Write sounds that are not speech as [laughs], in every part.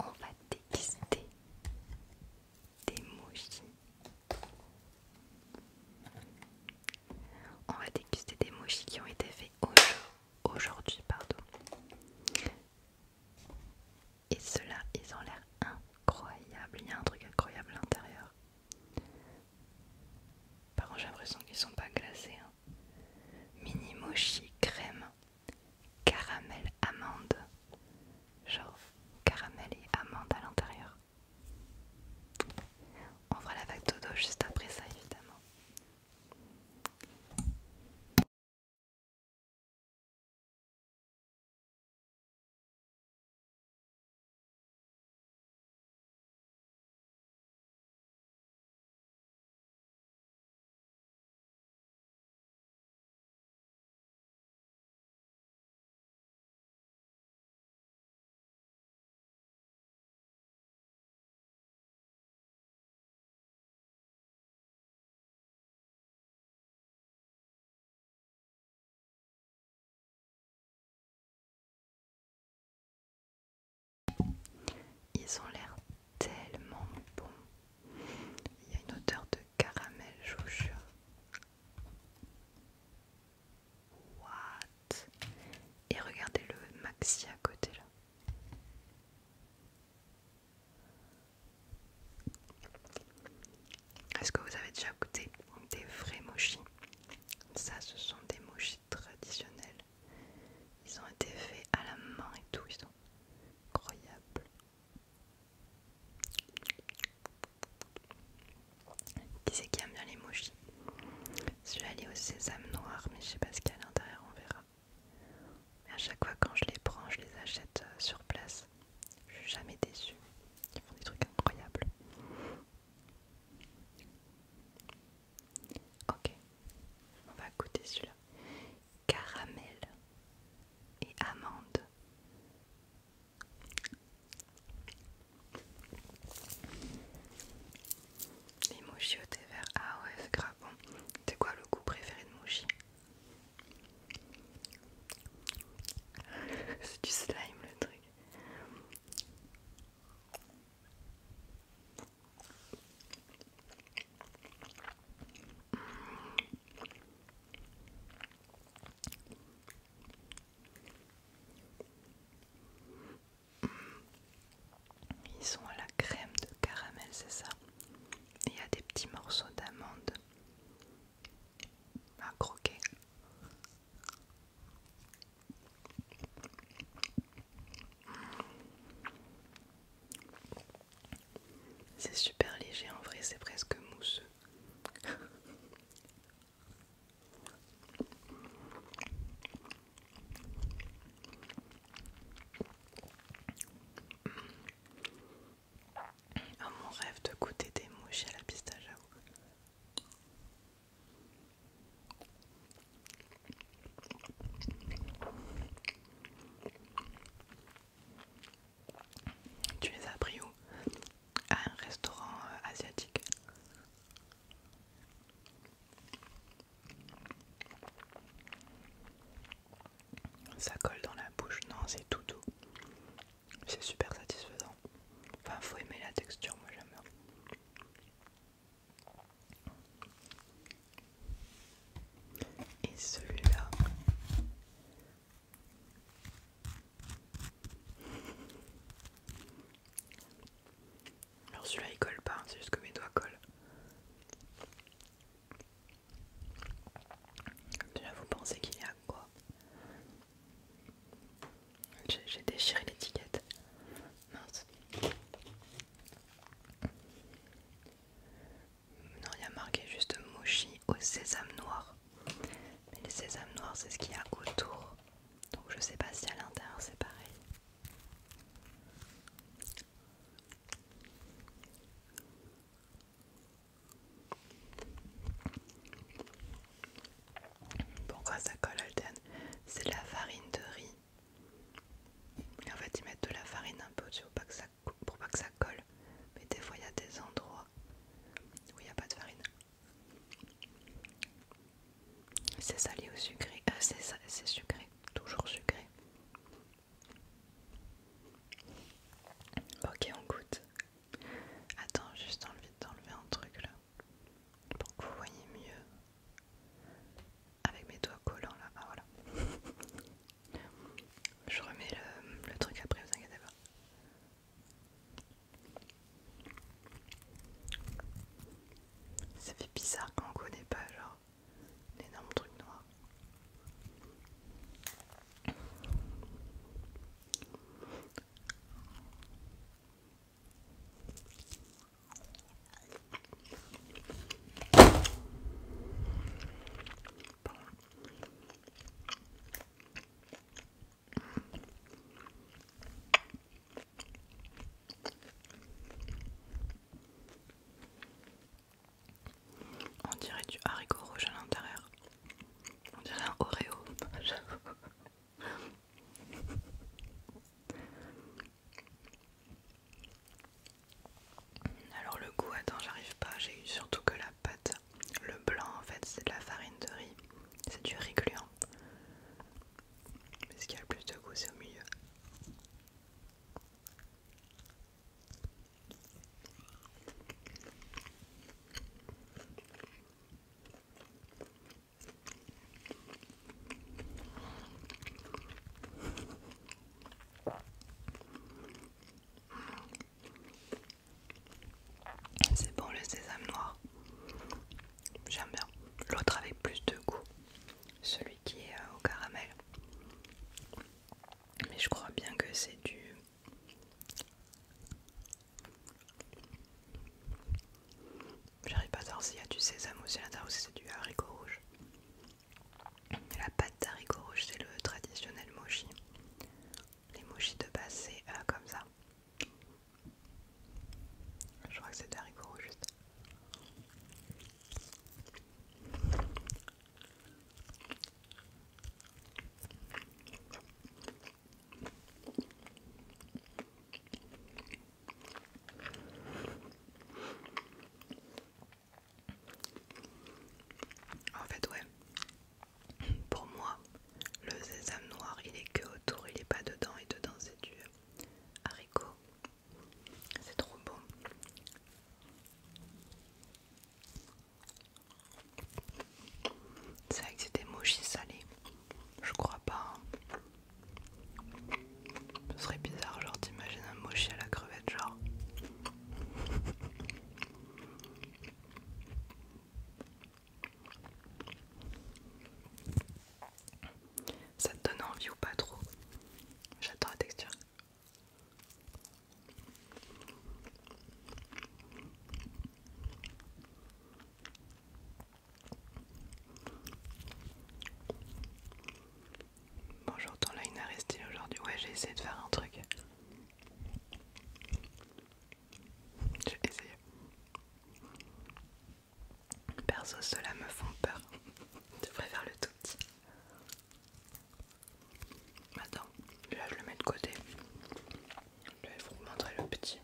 on va déguster des mochis. On va déguster des mochis qui ont été faits aujourd'hui, pardon. Et ceux-là, ils ont l'air incroyables. Il y a un truc incroyable à l'intérieur. Par contre, j'ai l'impression qu'ils sont pas glacés. Hein. Mini mochi crème caramel amande. Genre caramel et amande à l'intérieur. On fera la vague dodo juste après ça évidemment. Ils ont l'air tellement bons. Il y a une odeur de caramel jure. What Et regardez le maxi à côté là. Est-ce que vous avez déjà goûté des vrais mochis Ça, ce sont des mochis traditionnels ils ont été faits à la main et tout, ils sont incroyables. Qui c'est qui aime bien les mouchis Celui-là il est au sésame noir, mais je sais pas ce qu'il y a à l'intérieur, on verra. Mais à chaque fois quand je les prends, je les achète euh, sur place. Je suis jamais déçue. Ils font des trucs incroyables. Ok, on va goûter celui-là caramel et amande. Les mochi au thé vert, ah ouais, c'est grave bon. C'est quoi le goût préféré de mochi [laughs] C'est du slime le truc. Ils sont à la crème de caramel, c'est ça Il y a des petits morceaux d'amande à croquer. C'est super léger en vrai, c'est presque mousseux. Ah, mon rêve de goûter des mouches à la pistache à tu les as pris où À un restaurant euh, asiatique. Ça colle dans la bouche, non c'est tout doux. C'est super satisfaisant. Enfin faut aimer la texture, moi j'aime bien. Et celui-là. Alors celui-là il colle pas, c'est juste que mes doigts collent. Déjà vous pensez qu'il y a quoi J'ai déchiré l'étiquette. Mince. Non, il y a marqué juste mochi au sésame noir. Mais le sésame noir, c'est ce qu'il y a autour. Donc je sais pas si à l'intérieur c'est pareil. Pourquoi ça colle Alden C'est la farine de riz en fait, ils mettent de la farine un peu dessus pour pas que ça, colle. Mais des fois, il y a des endroits où il n'y a pas de farine. C'est salé ou sucré Ah C'est sucré, toujours sucré. Ok, on goûte. Attends, juste envie d'enlever un truc là. Pour que vous voyez mieux. Avec mes doigts collants là, ah voilà. [laughs] Je remets le, truc après, vous inquiétez pas. Ça fait bizarre quand on connaît pas, genre, l'énorme truc noir. On dirait du haricot rouge à l'intérieur. On dirait un Oreo. [laughs] [laughs] Alors le goût, attends, j'arrive pas, j'ai eu surtout que la pâte. Le blanc en fait c'est de la farine de riz, c'est du riz gluant. Mais ce qui a le plus de goût c'est au milieu. C'est bon le sésame noir. J'aime bien. L'autre avec plus de goût. Celui qui est euh, au caramel. Mais je crois bien que c'est du... J'arrive pas à savoir s'il y a du sésame aussi à l'intérieur ou si c'est du haricot rouge. La pâte d'haricot rouge, c'est le traditionnel mochi. Les mochi de base, c'est euh, comme ça. Je crois que c'est des haricots rouges juste. En fait, ouais. Pour moi, le sésame noir, il est que autour, il est pas dedans et dedans c'est du haricot. C'est trop beau. C'est vrai que c'était mochi salé. Je crois pas. Hein. Ce serait bizarre, genre t'imagines un mochi à la crevette, genre. Ça te donne envie ou pas trop J'adore la texture. Bonjour, ton line une resté aujourd'hui. Ouais, j'ai essayé de faire un truc. J'ai essayé. Perso, cela me font peur. [laughs] Je faire le tout Attends, là je le mets de côté. Je vais vous montrer le petit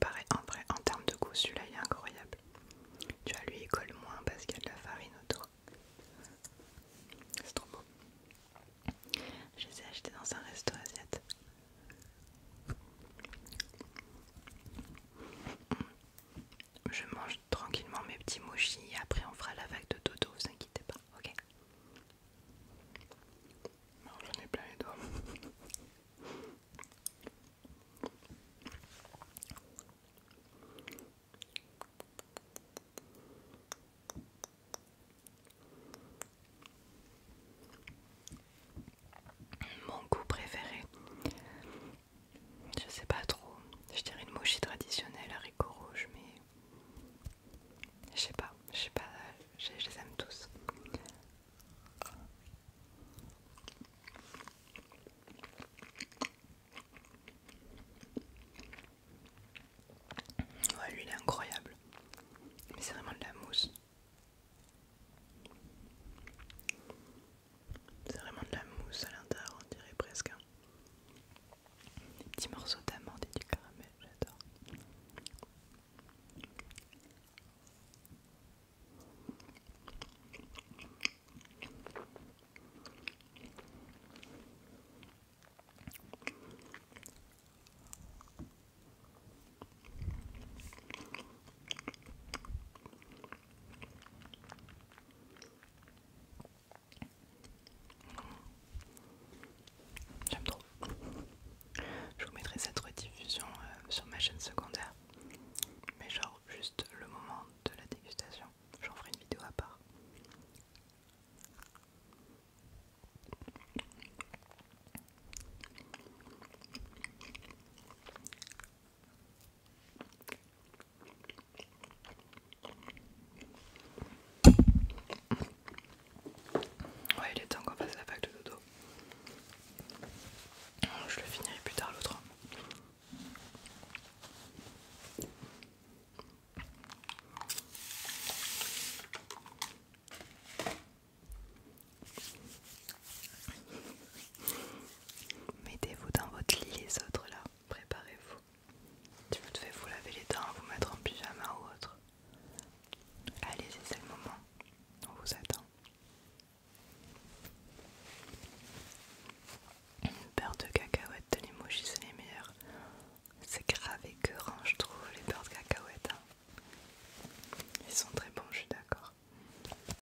pareil, en vrai, en termes de goût, celui-là est incroyable. Tu vois, lui il colle moins parce qu'il y a de la farine autour. C'est trop beau. Je les ai achetés dans un resto asiatique. Je mange tranquillement mes petits mochis et après on fera la vague de dodo, vous inquiétez pas, ok j'en ai plein les doigts. Mon goût préféré, je sais pas trop. Je dirais une traditionnelle traditionnelle, haricots rouge, mais je sais pas. Je sais pas. Je les aime tous. Ouais, lui il est incroyable. Mais c'est vraiment de la mousse. C'est vraiment de la mousse à l'intérieur, on dirait presque. Des petits morceaux d'amande et du caramel, j'adore. J'aime trop. Je vous mettrai cette rediffusion euh, sur ma chaîne secondaire. Mais genre juste le moment de la dégustation. J'en ferai une vidéo à part. Ouais, il est temps qu'on fasse la pâte de dodo. Je le finirai plus tard l'autre. Mettez-vous dans votre lit les autres là, préparez-vous. Si vous devez vous laver les dents, vous mettre en pyjama ou autre. allez c'est le moment. On vous attend. Une beurre de cacahuètes les l'emoji, c'est les meilleurs. C'est grave écœurant, je trouve, les beurres de cacahuète. Hein. Ils sont très bons, je suis d'accord.